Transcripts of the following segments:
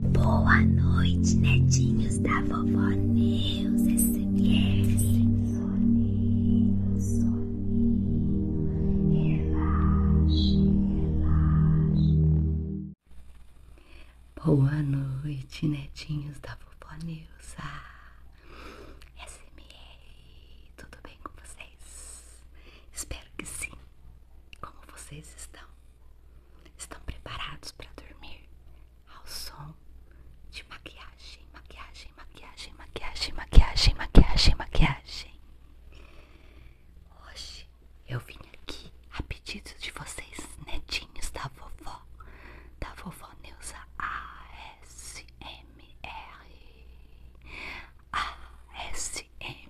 Boa noite, netinhos da vovó Neus SMR. Soninho, soninho, relaxe, relaxe. Boa noite, netinhos da vovó Neuza. SMR, tudo bem com vocês? Espero que sim. Como vocês estão? Estão preparados para dormir ao som de maquiagem, maquiagem, maquiagem, maquiagem, maquiagem, maquiagem, maquiagem. Hoje eu vim aqui a pedido de vocês, netinhos da vovó, da vovó Neuza ASMR. ASMR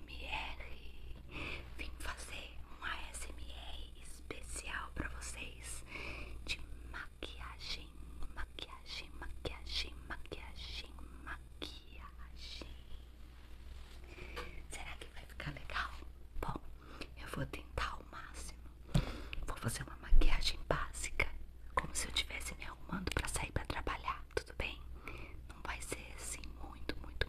vim fazer um ASMR especial pra vocês de maquiagem, maquiagem, maquiagem, maquiagem, maquiagem. Será que vai ficar legal? Bom, eu vou tentar ao máximo. Vou fazer uma maquiagem básica, como se eu estivesse me arrumando pra sair pra trabalhar, tudo bem? Não vai ser assim muito, muito,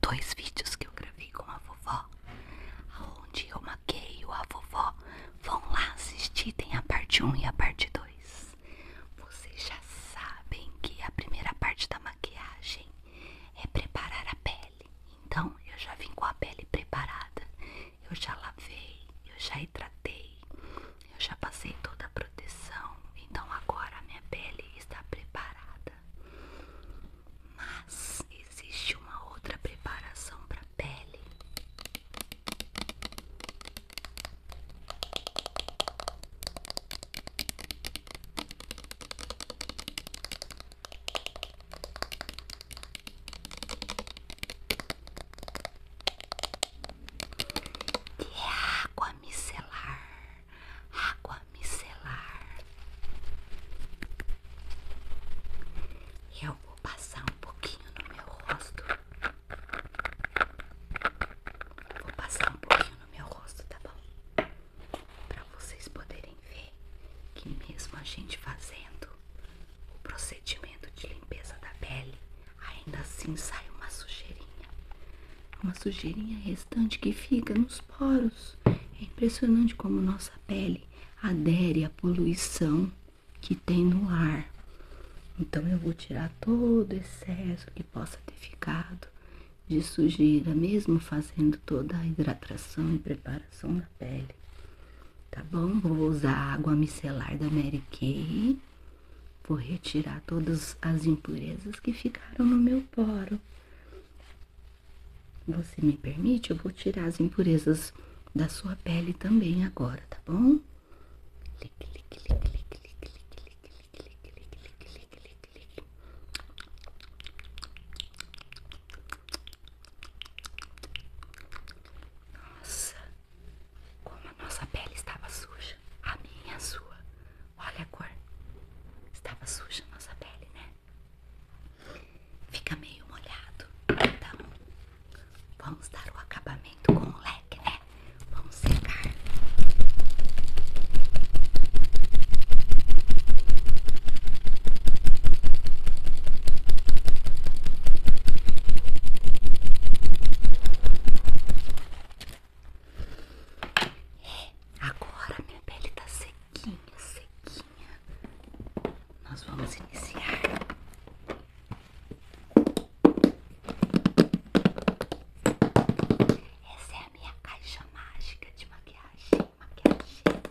dois vídeos que eu gravei com a vovó, onde eu maqueio a vovó. Vão lá assistir, tem a parte 1 e a parte 2. Vocês já sabem que a primeira parte da maquiagem é preparar a pele. Então, eu já vim com a pele preparada. Eu já lavei, eu já hidratei, eu já passei toda a proteção. Então, agora a minha pele está preparada. Mas existe uma outra preparação para pele. Que é água micelar, água micelar. Eu vou passar um pouquinho no meu rosto. Vou passar um pouquinho no meu rosto, tá bom? Pra vocês poderem ver que mesmo a gente fazendo o procedimento de limpeza da pele, ainda assim sai uma sujeirinha. Uma sujeirinha restante que fica nos poros. É impressionante como nossa pele adere à poluição que tem no ar. Então eu vou tirar todo o excesso que possa ter ficado de sujeira, mesmo fazendo toda a hidratação e preparação da pele. Tá bom? Vou usar a água micelar da Mary Kay. Vou retirar todas as impurezas que ficaram no meu poro. Você me permite? Eu vou tirar as impurezas da sua pele também agora, tá bom? Nossa, como a nossa pele estava suja, a minha, a sua. Olha a cor. Estava suja a nossa pele, né? Fica meio molhado. Então, vamos dar o acabamento com o leque, né? Vamos secar. É, agora minha pele está seca sequinha, sequinha, nós vamos iniciar. Essa é a minha caixa mágica de maquiagem, maquiagem.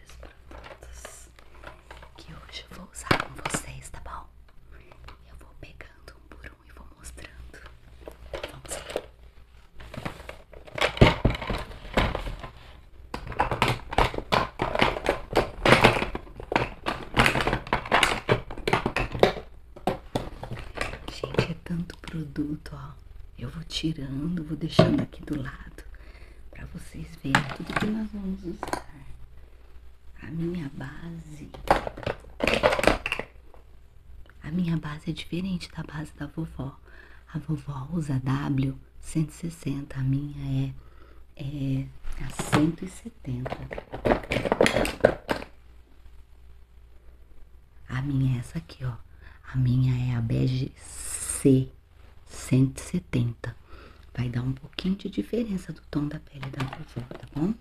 vários produtos que hoje eu vou usar com vocês, tá bom? Eu vou pegando um por um e vou mostrando. Vamos lá. Gente, é tanto produto, ó. Eu vou tirando, vou deixando aqui do lado para vocês verem tudo que nós vamos usar. A minha base. A minha base é diferente da base da vovó. A vovó usa W160, a minha é, é a 170. A minha é essa aqui, ó. A minha é a bege C 170. Vai dar um pouquinho de diferença do tom da pele da vovó, tá bom?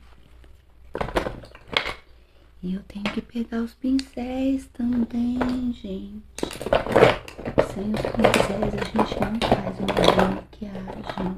E eu tenho que pegar os pincéis também, gente. Sem os pincéis a gente não faz uma maquiagem.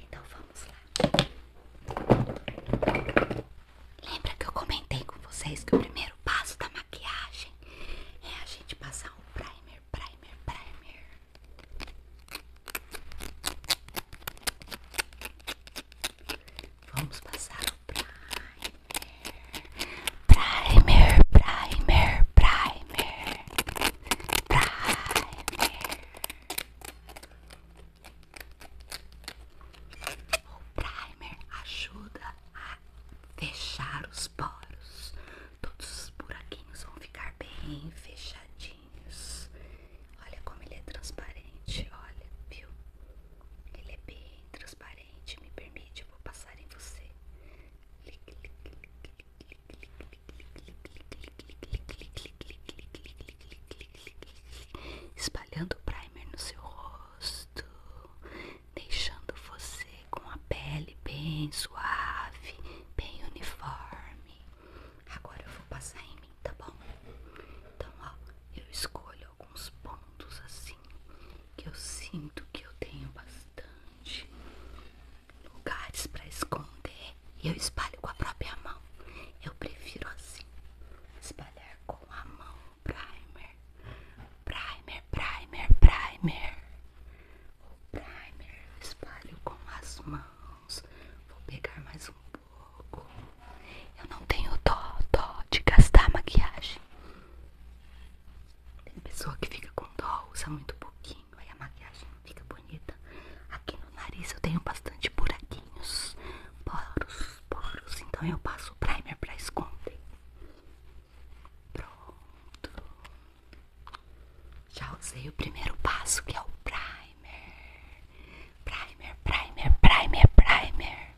Então vamos lá. Lembra que eu comentei com vocês que o primeiro passo da maquiagem é a gente passar o primer, primer, primer. Vamos passar o primer. Primer, primer, primer, primer. O primer ajuda a fechar os poros. Todos os buraquinhos vão ficar bem fechadinhos. Olha como ele é transparente, olha, viu? Ele é bem transparente transparente me permite, eu vou passar em você. Espalhando o primer no seu rosto, deixando você com a pele bem suave, bem uniforme. Agora eu vou passar em mim, tá bom? Então, ó, eu escolho alguns pontos assim que eu sinto que eu tenho bastante lugares para esconder e eu espalho com a própria mão. Eu prefiro assim, espalhar com a mão. Primer, primer, primer, primer. O primer eu espalho com as mãos. Vou pegar mais um pouco. Eu não tenho dó, dó de gastar maquiagem. Tem pessoa que fica com dó, usa muito pouquinho, aí a maquiagem não fica bonita. Aqui no nariz eu tenho bastante buraquinhos, poros, poros, então eu passo o primer pra esconder. Pronto. Já usei o primeiro passo que é o primer. Primer, primer, primer, primer.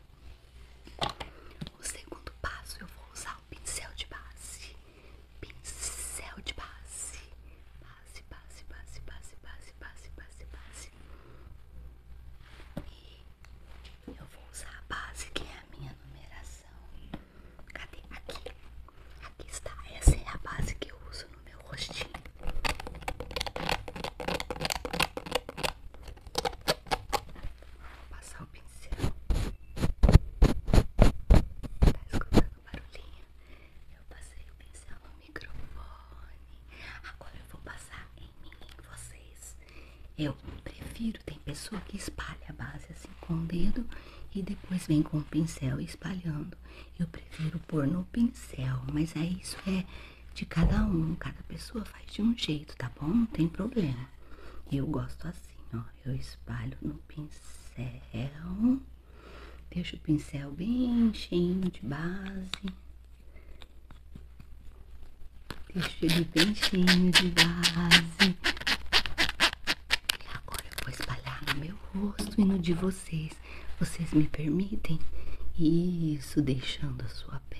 O segundo passo eu vou usar o pincel de base. Pincel de base. Base, base, base, base, base, base, base, E eu vou usar a base que é a minha numeração. Cadê? Aqui. Aqui está. Essa é a base que eu uso no meu rostinho. Vou passar o pincel. Tá escutando barulhinho? Eu passei o pincel no microfone. Agora eu vou passar em mim, em vocês. Eu prefiro, tem pessoa que espalha a base assim com o dedo e depois vem com o pincel espalhando. Eu prefiro pôr no pincel, mas é isso, é de cada um, cada pessoa faz de um jeito, tá bom? Não tem problema eu gosto assim, ó. Eu espalho no pincel. Deixo o pincel bem cheinho de base. Deixo ele bem cheinho de base. E agora eu vou espalhar no meu rosto e no de vocês. Vocês me permitem? Isso, deixando a sua pele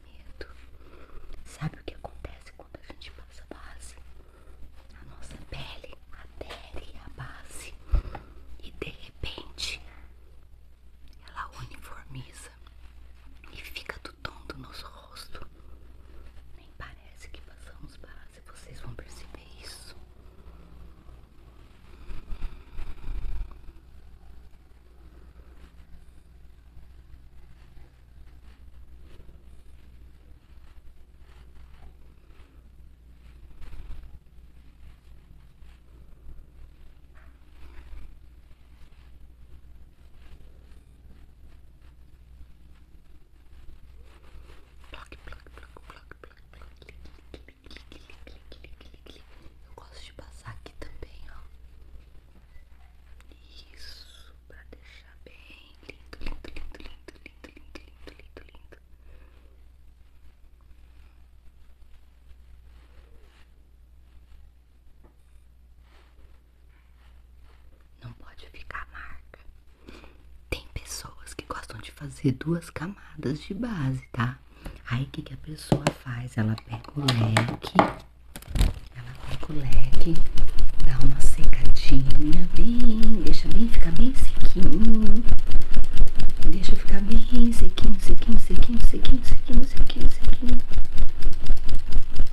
medo. Sabe o que acontece quando a gente passa base? A nossa pele a pele adere a base e de repente ela uniformiza e fica do tom do nosso rosto. Nem parece que passamos base, vocês vão perceber isso. Block, block, block, block, block, block. Eu gosto de passar aqui também, ó. Isso isso pra deixar bem lindo, lindo, lindo, lindo, lindo, lindo, lindo, lindo, lindo. lindo Não pode ficar marca. Tem pessoas que gostam de fazer duas camadas de base, tá? Aí o que a pessoa faz? Ela pega o leque ela coloca o leque, dá uma secadinha, bem, deixa bem ficar bem sequinho. Deixa ficar bem sequinho, sequinho, sequinho, sequinho, sequinho, sequinho, sequinho.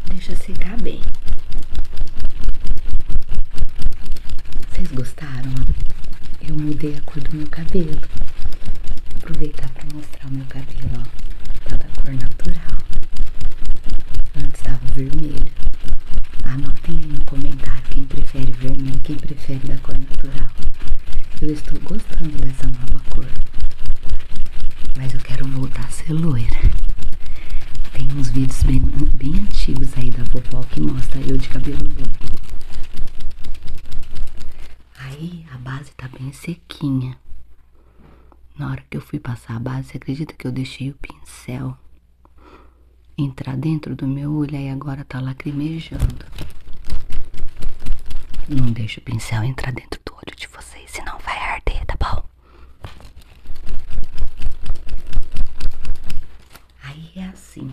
Deixa secar bem. Vocês gostaram? Eu mudei a cor do meu cabelo. Vou aproveitar para mostrar o meu cabelo, ó. Tá da cor natural. Antes estava vermelho. Anotem aí no comentário quem prefere vermelho, quem prefere da cor natural. Eu estou gostando dessa nova cor. Mas eu quero voltar a ser loira. Tem uns vídeos bem, antigos aí da popó que mostra eu de cabelo loiro. Aí a base tá bem sequinha. Na hora que eu fui passar a base, acredita que eu deixei o pincel entrar dentro do meu olho e agora tá lacrimejando? Não deixe o pincel entrar dentro do olho de vocês, senão vai arder, tá bom? Aí é assim.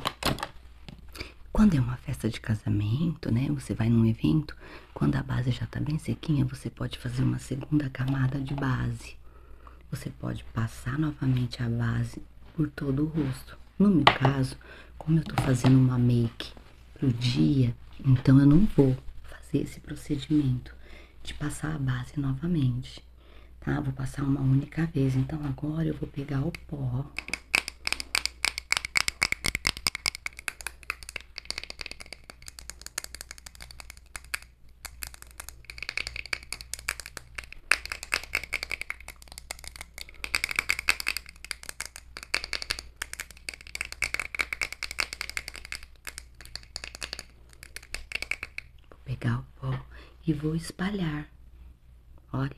Quando é uma festa de casamento, né? Você vai num evento, quando a base já está bem sequinha, você pode fazer uma segunda camada de base. Você pode passar novamente a base por todo o rosto. No meu caso, como eu estou fazendo uma make pro dia, então eu não vou fazer esse procedimento de passar a base novamente, tá? Vou passar uma única vez. Então agora eu vou pegar o pó. Vou pegar o pó e vou espalhar. Olha,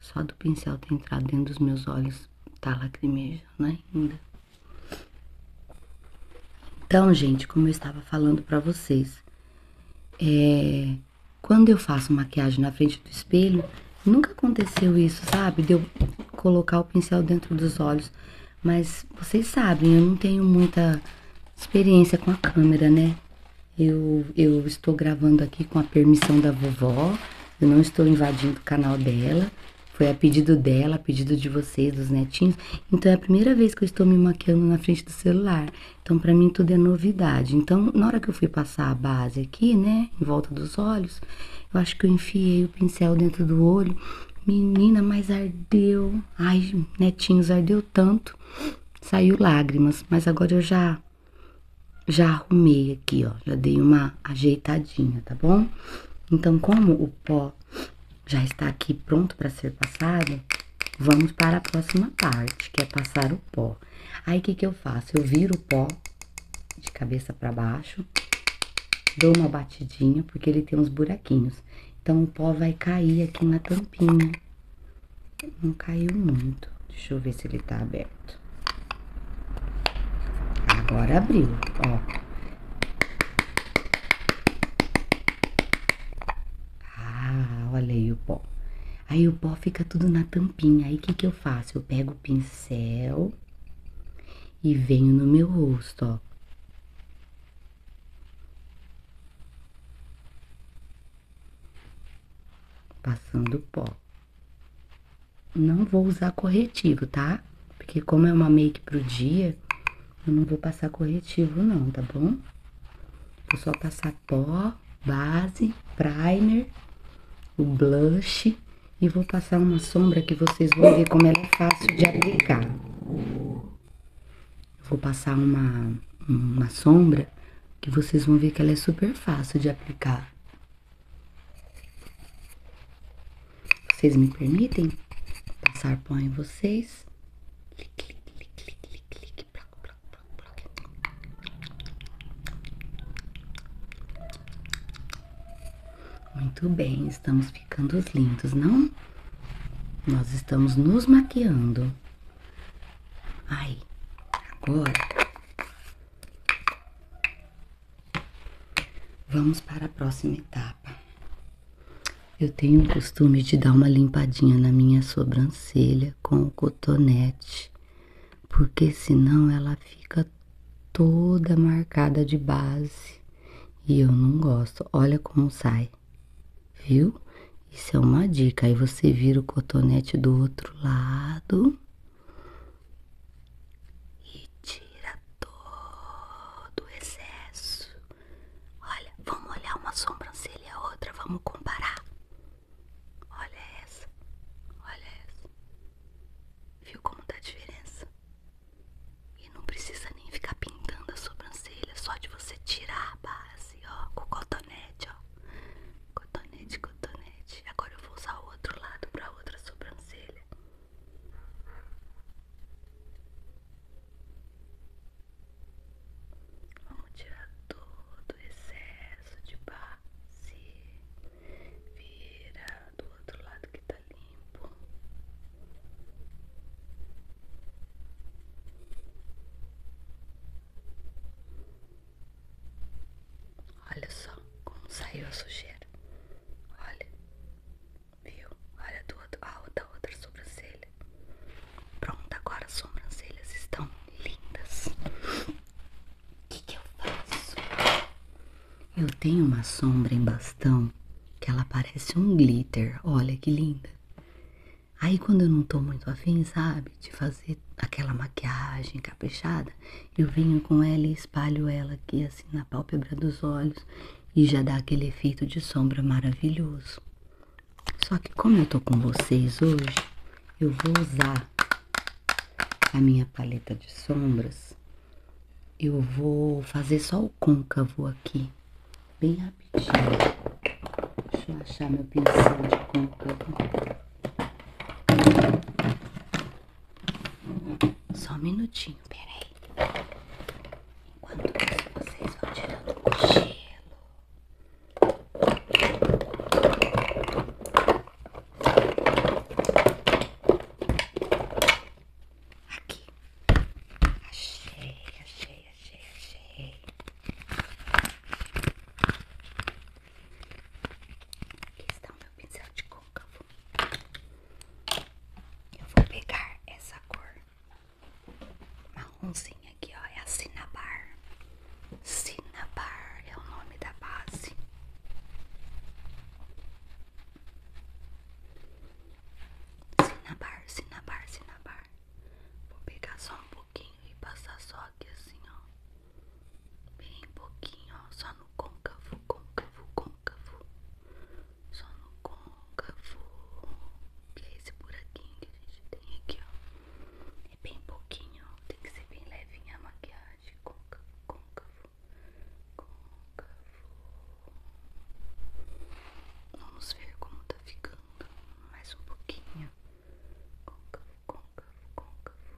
só do pincel ter entrado dentro dos meus olhos tá lacrimeja, né? Ainda. Então, gente, como eu estava falando para vocês, é, quando eu faço maquiagem na frente do espelho, nunca aconteceu isso, sabe? De eu colocar o pincel dentro dos olhos. Mas vocês sabem, eu não tenho muita experiência com a câmera, né? Eu, eu estou gravando aqui com a permissão da vovó, eu não estou invadindo o canal dela. Foi a pedido dela, a pedido de vocês, dos netinhos. Então é a primeira vez que eu estou me maquiando na frente do celular. Então para mim tudo é novidade. Então na hora que eu fui passar a base aqui, né, em volta dos olhos, eu acho que eu enfiei o pincel dentro do olho. Menina, mas ardeu. Ai, netinhos, ardeu tanto. Saiu lágrimas, mas agora eu já já arrumei aqui, ó. Já dei uma ajeitadinha, tá bom? Então, como o pó já está aqui pronto para ser passado, vamos para a próxima parte, que é passar o pó. Aí, o que, que eu faço? Eu viro o pó de cabeça para baixo, dou uma batidinha, porque ele tem uns buraquinhos. Então, o pó vai cair aqui na tampinha. Não caiu muito. Deixa eu ver se ele está aberto. Agora abriu, ó. Ah, olha aí o pó. Aí o pó fica tudo na tampinha. Aí o que, que eu faço? Eu pego o pincel e venho no meu rosto, ó. Passando o pó. Não vou usar corretivo, tá? Porque como é uma make pro dia, eu não vou passar corretivo não, tá bom? Vou só passar pó, base, primer, o blush e vou passar uma sombra que vocês vão ver como ela é fácil de aplicar. Vou passar uma, uma sombra que vocês vão ver que ela é super fácil de aplicar. Vocês me permitem passar pão em vocês? Muito bem, estamos ficando lindos, não? Nós estamos nos maquiando. Aí, agora. Vamos para a próxima etapa. Eu tenho o costume de dar uma limpadinha na minha sobrancelha com o cotonete, porque senão ela fica toda marcada de base e eu não gosto. Olha como sai, viu? Isso é uma dica. Aí você vira o cotonete do outro lado tira todo o excesso. Olha, vamos olhar uma sobrancelha e a outra, vamos comparar. Olha essa, olha essa. Viu como dá a diferença? E não precisa nem ficar pintando a sobrancelha, só de você tirar a base, ó, com o cotonete, ó. Cotonete, cotonete. Agora eu vou usar o outro lado pra outra sobrancelha. Vamos tirar todo o excesso de base. Vira do outro lado que tá limpo. Olha só como saiu a sujeira. Olha, Viu? Olha do outro, a outra, outra sobrancelha. Pronto, agora as sobrancelhas estão lindas. O que, eu faço? Eu tenho uma sombra em bastão que ela parece um glitter. Olha que linda. Aí quando eu não tô muito afim, sabe, de fazer aquela maquiagem caprichada, eu venho com ela e espalho ela aqui assim na pálpebra dos olhos e já dá aquele efeito de sombra maravilhoso. Só que como eu tô com vocês hoje, eu vou usar a minha paleta de sombras. Eu vou fazer só o côncavo aqui, bem rapidinho. Deixa eu achar meu pincel de côncavo. Só um minutinho, peraí. Enquanto vocês vão tirando o cochilo. Aqui. Achei, achei, achei, achei. Aqui está o meu pincel de cor. Eu vou pegar essa cor marronzinha aqui, ó, é a Cinnabar. Cinnabar é o nome da base. Cinnabar, Cinnabar, Cinnabar. Vou pegar só um pouquinho e passar só aqui assim, ó. Bem pouquinho, ó, só no côncavo, côncavo, côncavo côncavo. Só no côncavo. Que é esse buraquinho que a gente tem aqui, ó. É bem pouquinho. Tem que ser bem levinha a maquiagem. com com Côncavo, com Côncavo. Vamos ver como tá ficando. Mais um pouquinho. com com com côncavo, com Côncavo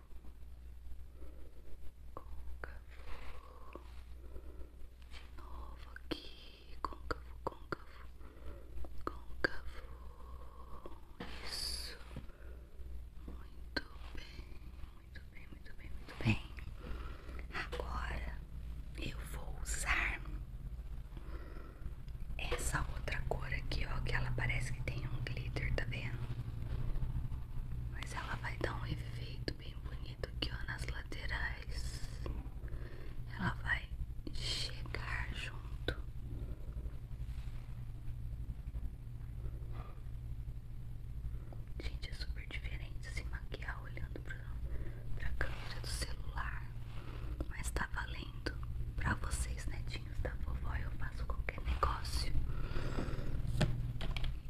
de novo aqui, côncavo, côncavo, côncavo, isso, muito bem, muito bem, muito bem, muito bem, agora eu vou usar essa outra cor aqui, ó, que ela parece que tem um glitter, tá vendo? Mas ela vai dar um efeito bem bonito aqui, ó, nas laterais. Ela vai chegar junto. Gente, é super diferente se maquiar olhando pra, pra câmera do celular. Mas tá valendo. Pra vocês, netinhos da vovó, eu faço qualquer negócio.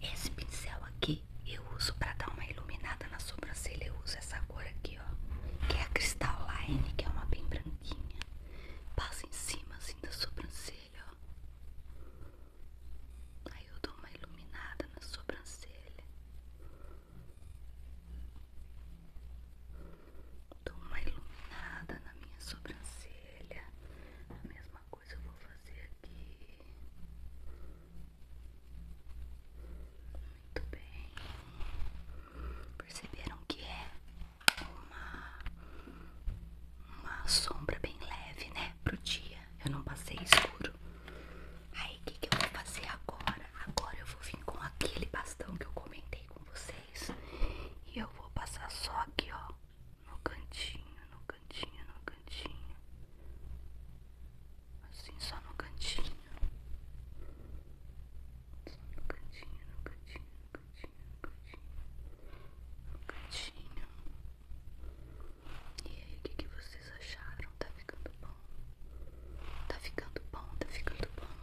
Esse pincel aqui eu uso pra dar uma iluminada na sobrancelha. Eu uso essa cor aqui, ó. Que é a Crystal Line, que é uma bem branquinha. Passa em cima, assim, da sobrancelha, ó. Aí eu dou uma iluminada na sobrancelha. Dou uma iluminada na minha sobrancelha. A mesma coisa eu vou fazer muito bem. Perceberam que é uma, uma sombra bem leve, né? Pro dia. Eu não passei escuro. Aí o que, que eu vou fazer agora? Agora eu vou vir com aquele bastão que eu comentei com vocês. E eu vou passar só aqui, ó. No cantinho, no cantinho cantinho, no cantinho. Assim, só no cantinho. Só no cantinho, no cantinho, no cantinho, no cantinho. No cantinho. E aí, o que, vocês acharam? Tá ficando bom? Tá ficando bom, tá ficando bom.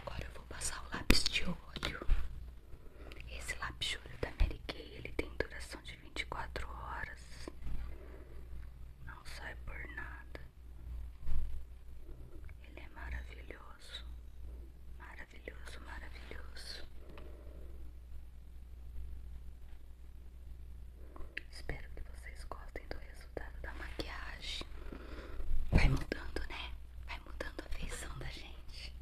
Agora eu vou passar o lápis de óleo esse lápis da Mary Kay, ele tem duração de 24 horas. Não sai por nada. Ele é maravilhoso. Maravilhoso, maravilhoso. Espero que vocês gostem do resultado da maquiagem. Vai mudando, né? Vai mudando a feição da gente.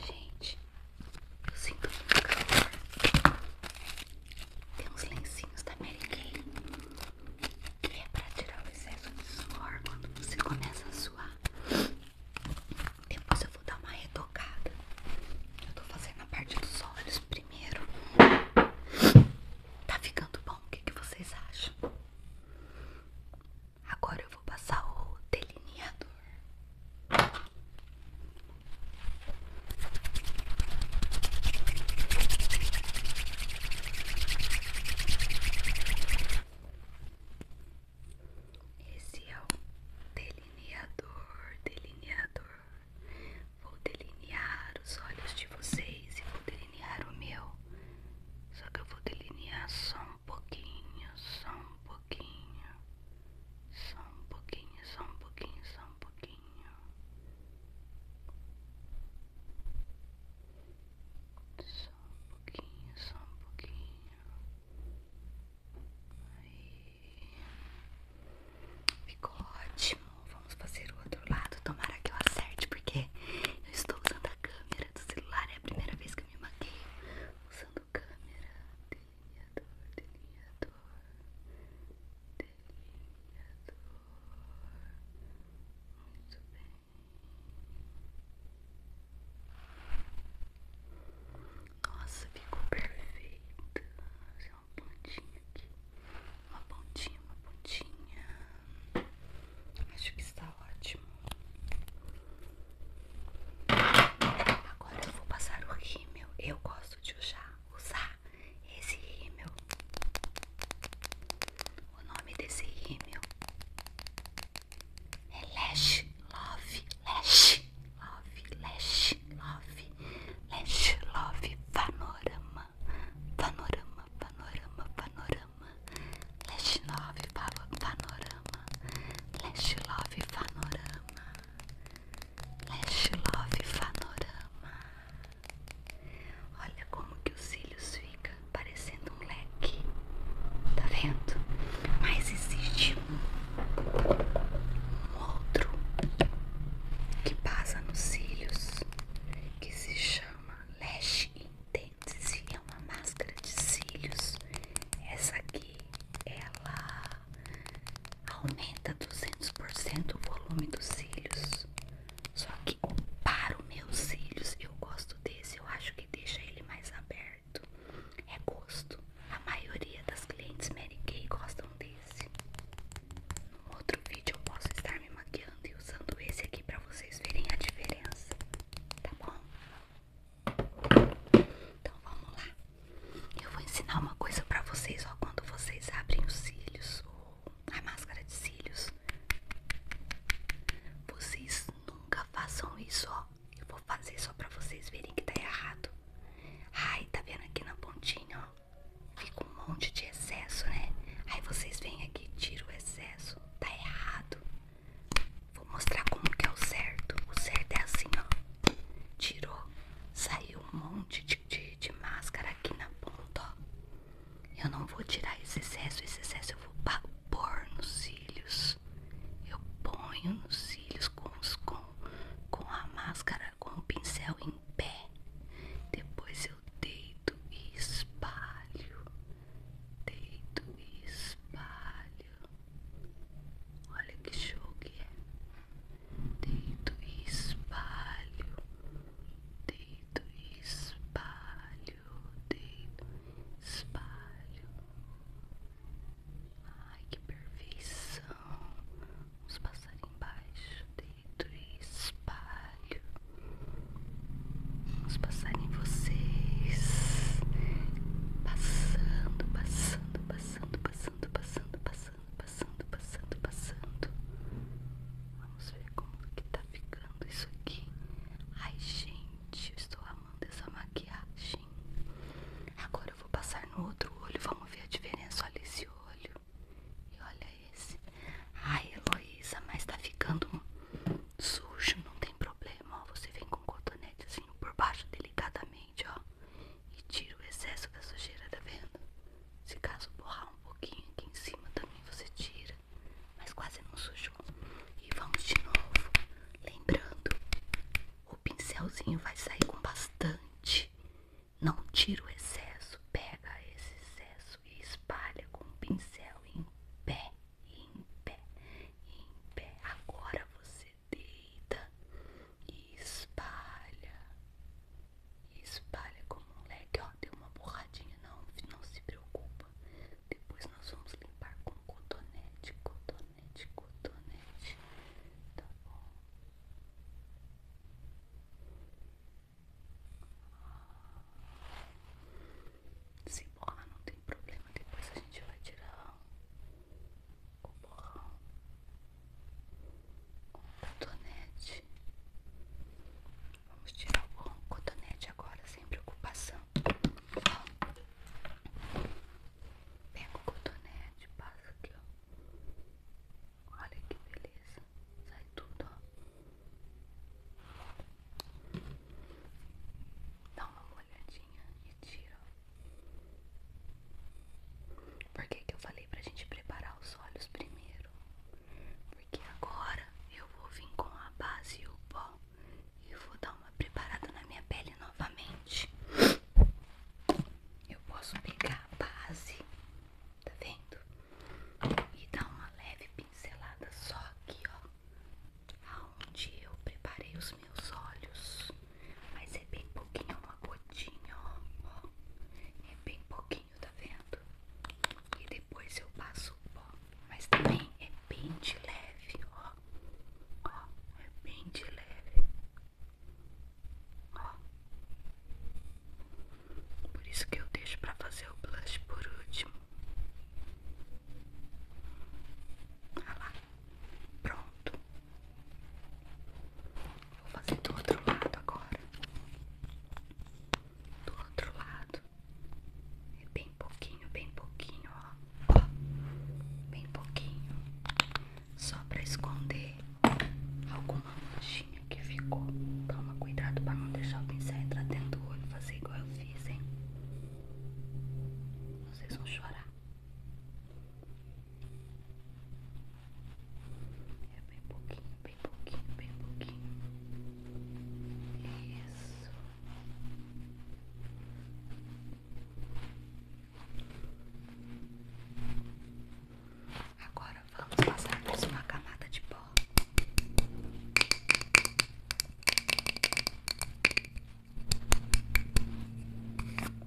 Gente, eu sinto muito calor. Tem uns lencinhos da Mary Kay que é pra tirar o excesso de suor quando você começa a suar. Depois eu vou dar uma retocada. Eu tô fazendo a parte dos olhos primeiro. Tá ficando bom? O que vocês acham? Agora eu vou passar o delineador. Esse é o delineador, delineador. Vou delinear os olhos de vocês e vou delinear o meu. Só que eu vou delinear só um pouquinho, só um pouquinho, só um pouquinho, só um pouquinho, só um pouquinho. Só um pouquinho, só um pouquinho. Aí. Ficou ótimo. Vamos fazer o outro lado. Tomara que eu acerte, porque eu estou usando a câmera do celular. É a primeira vez que que me maqueio usando câmera, delineador, delineador, delineador. Muito bem. Nossa, ficou perfeita. Fazer uma pontinha aqui. Uma pontinha, uma pontinha. Acho que está ótimo. Agora eu vou passar o rímel. Eu gosto de usar, usar esse rímel. O nome desse rímel é Lash Love, Lash Love, Lash Love, Lash Love Panorama, Panorama, Panorama, Panorama. Panorama, Love Panorama, Leste Love Panorama, Leste Love Panorama. Olha como que os cílios ficam parecendo um leque, tá vendo? Mas existe um, um outro que passa nos cílios que se chama Lash In dentes é uma máscara de cílios. Essa aqui, ela aumenta 200% o volume dos cílios. Só que para os meus cílios, eu gosto desse. Eu acho que deixa ele mais aberto. É gosto. A maioria das clientes Mary Kay gostam desse. Num outro vídeo eu posso estar me maquiando e usando esse aqui para vocês verem a diferença, tá bom? Então vamos lá. Eu vou ensinar uma coisa pra vocês, ó, quando vocês abrem os cílios, a máscara de cílios. Vocês nunca façam isso, ó. Eu vou fazer só pra vocês verem que tá errado. Ai, tá vendo aqui na pontinha, ó? Fica um monte de excesso, né? Aí vocês vêm aqui e tiram o excesso. Tá errado. Vou mostrar como que é o certo. O certo é assim, ó. Tirou, saiu um monte de, de, máscara aqui na ponta, ó. Eu não vou tirar esse excesso, esse excesso eu vou pôr nos cílios. Eu ponho nos cílios com, com, com a máscara, com o pincel em pé. Depois eu deito e espalho deito e espalho. Olha que show que é. Deito e espalho. Deito e espalho. Deito e espalho. Ai, que perfeição. Vamos passar embaixo. Deito e espalho. Vamos passar em vocês. Passando, passando, passando, passando, passando, passando, passando, passando, passando. Vamos ver como que tá ficando isso aqui. Ai, gente, eu estou amando essa maquiagem. Agora eu vou passar no outro olho. Vamos ver a diferença. Olha esse olho. E olha esse. Ai, Heloísa, mas tá ficando sujo, não tem tem problema, ó. Você vem com um cotonete assim por baixo delicadamente, ó. E tira o excesso da sujeira, tá vendo? Se caso borrar um pouquinho aqui em cima também você tira. Mas quase não sujou. E vamos de novo. Lembrando, o pincelzinho vai sair com bastante. Não tira o excesso. Pega esse excesso e espalha com o pincel em pé em pé, em pé. Agora você deita e espalha, espalha como um leque. Ó, deu uma borradinha, não, não se preocupa. Depois nós vamos limpar com cotonete, cotonete, cotonete. Tá bom? Se borrar não tem problema, depois a gente vai tirar o borrão, o cotonete. Vamos tirar o borrão, o cotonete agora, sem preocupação. Pega o cotonete, passa aqui, Olha que beleza. Sai tudo, Dá uma molhadinha e tira. Por que, que eu falei pra gente preparar os olhos primeiro? Porque agora eu vou vir com a base e o pó e vou dar uma preparada na minha pele novamente. Eu posso pegar a base, tá vendo? E dar uma leve pincelada só aqui, ó aonde eu preparei os meus olhos, mas é bem pouquinho, uma gotinha, ó, é bem pouquinho, tá vendo? E depois eu passo o pó, mas também é bem de leve, ó, ó, é bem de leve, ó. Por isso que eu deixo pra fazer o blush por último lá. Pronto. Vou fazer do outro lado agora. Do outro lado. É bem pouquinho, bem pouquinho, ó. ó. Bem pouquinho. Só pra esconder alguma manchinha que ficou. Toma cuidado pra não deixar o pincel entrar dentro do olho. Fazer igual eu fiz, hein? Vocês vão chorar. É bem pouquinho, bem pouquinho, bem pouquinho. Isso. Agora vamos passar por uma camada de pó.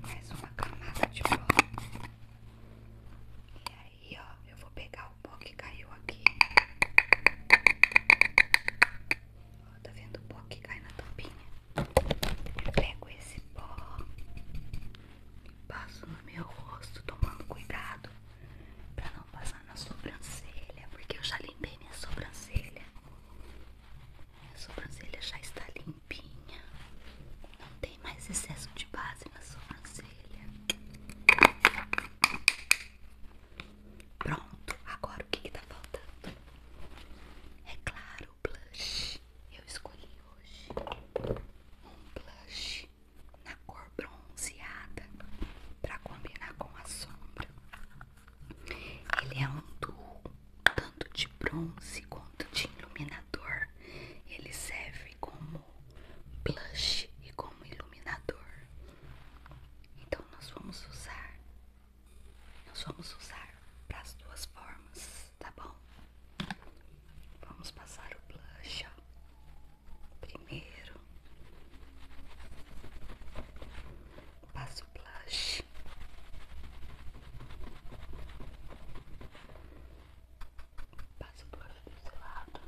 Mais uma camada de pó. E aí, ó, eu vou pegar o pó que caiu aqui. Ó, tá vendo o pó que cai na tampinha? pego esse pó e passo no meu rosto, tomando cuidado pra vou passar na sobrancelha, porque eu já limpei minha sobrancelha. Minha sobrancelha já está limpinha. Não tem mais excesso de base na sobrancelha. Pronto, agora o que está faltando? É claro, o blush. Eu escolhi hoje um blush na cor bronzeada para combinar com a sombra. Ele é um duo, tanto de bronze quanto de iluminador. Ele serve como blush e como iluminador. Então nós vamos usar, nós vamos usar para as duas formas, tá bom? Vamos passar o blush primeiro Passo blush. Passo blush desse lado.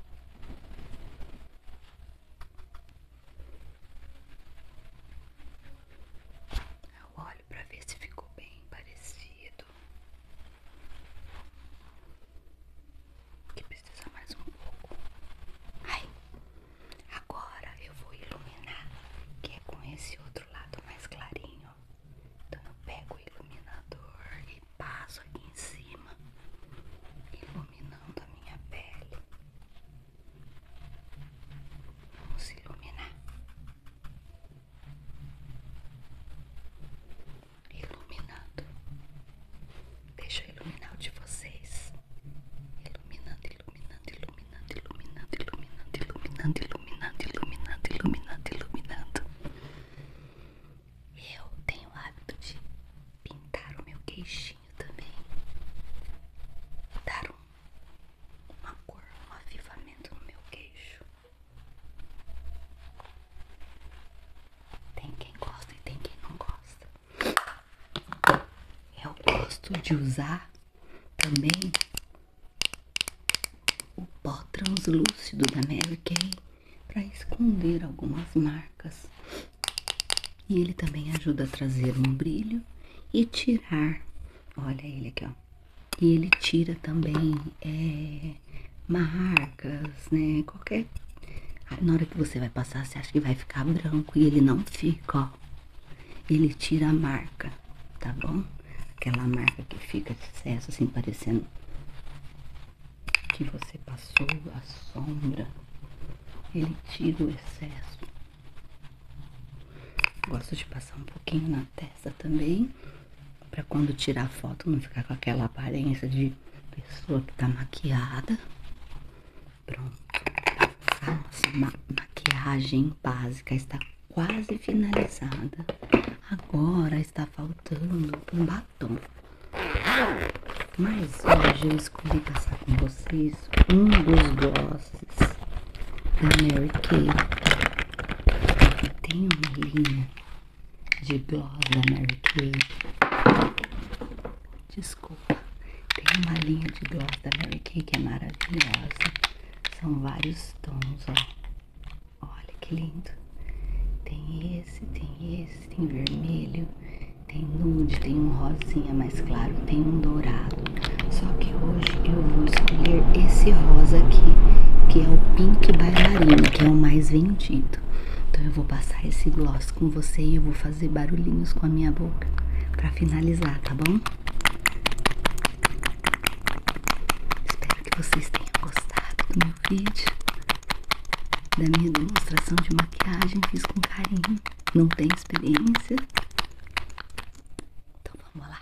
Eu olho para ver se ficou bem parecido. Que precisa mais um pouco. Ai. Agora eu vou iluminar, que é com esse outro lado mais clarinho. Então eu pego o iluminador e passo aqui em cima, iluminando a minha pele. Vamos iluminar. Iluminando. Deixa eu iluminar o de vocês. Iluminando, iluminando, iluminando, iluminando, iluminando, iluminando, iluminando, iluminando, iluminando, iluminando. Eu tenho o hábito de pintar o meu queixinho também. Dar uma cor, um avivamento no meu queixo. Tem quem gosta e tem quem não gosta. Eu gosto de usar também o pó translúcido da Mary Kay para esconder algumas marcas. E ele também ajuda a trazer um brilho e tirar. Olha ele aqui, ó. E ele tira também é, marcas, né? Qualquer na hora que você vai passar, você acha que vai ficar branco e ele não fica, ó. Ele tira a marca, tá bom? Aquela marca que fica excesso, assim parecendo que você passou a sombra. Ele tira o excesso. Gosto de passar um pouquinho na testa também, para quando tirar foto não ficar com aquela aparência de pessoa que tá maquiada. Pronto. Nossa, ma maquiagem básica está quase finalizada. Agora está faltando um batom. Mas hoje eu escolhi passar com vocês um dos glosses da Mary Kay. Tem uma linha de gloss da Mary Kay Desculpa. Tem uma linha de gloss da Mary Kay que é maravilhosa. São vários tons, ó. Olha que lindo. Tem esse, tem esse, tem vermelho, tem nude, tem um rosinha mais claro, tem um dourado. Só que hoje eu vou escolher esse rosa aqui, que é o Pink bailarino que é o mais vendido. Então eu vou passar esse gloss com você e eu vou fazer barulhinhos com a minha boca para finalizar, tá bom? Espero que vocês tenham gostado do meu vídeo, da minha demonstração de maquiagem. Fiz com carinho, não tem experiência. Então vamos lá.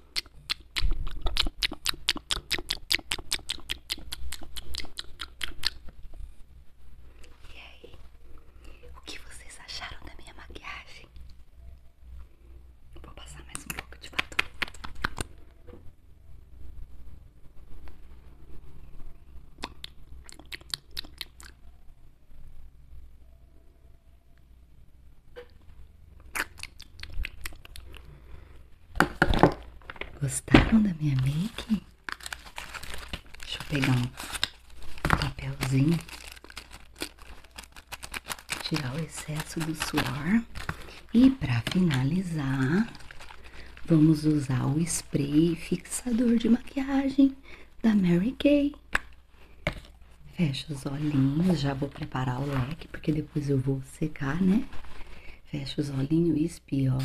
E aí, o que vocês acharam da minha maquiagem? Vou passar mais um pouco de batom. Gostaram da minha make? Deixa eu pegar um papelzinho, tirar o excesso do suor e para finalizar, vamos usar o spray fixador de maquiagem da Mary Kay. Fecha os olhinhos, já vou preparar o leque porque depois eu vou secar, né? Fecha os olhinhos e espia, ó.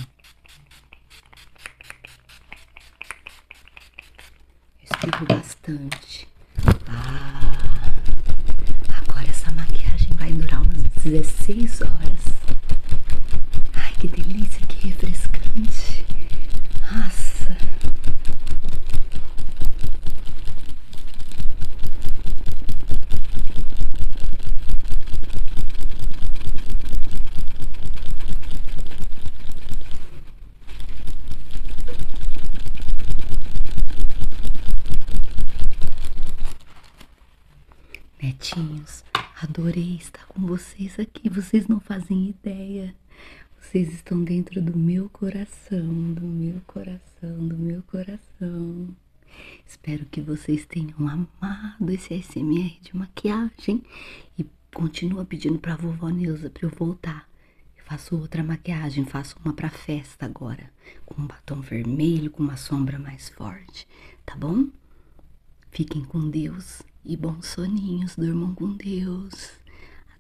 Espirro bastante. Ah, agora essa maquiagem vai durar umas 16 horas. Ai, que delícia, que refrescante. Nossa. Netinhos, adorei estar com vocês aqui. Vocês não fazem ideia. Vocês estão dentro do meu coração, do meu coração, do meu coração. Espero que vocês tenham amado esse ASMR de maquiagem e continua pedindo pra vovó Neuza pra eu voltar. faço outra maquiagem, faço uma pra festa agora, com um batom vermelho, com uma sombra mais forte, tá bom? Fiquem com Deus e bons soninhos, Dormam com Deus.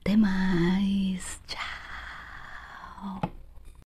Até mais, tchau!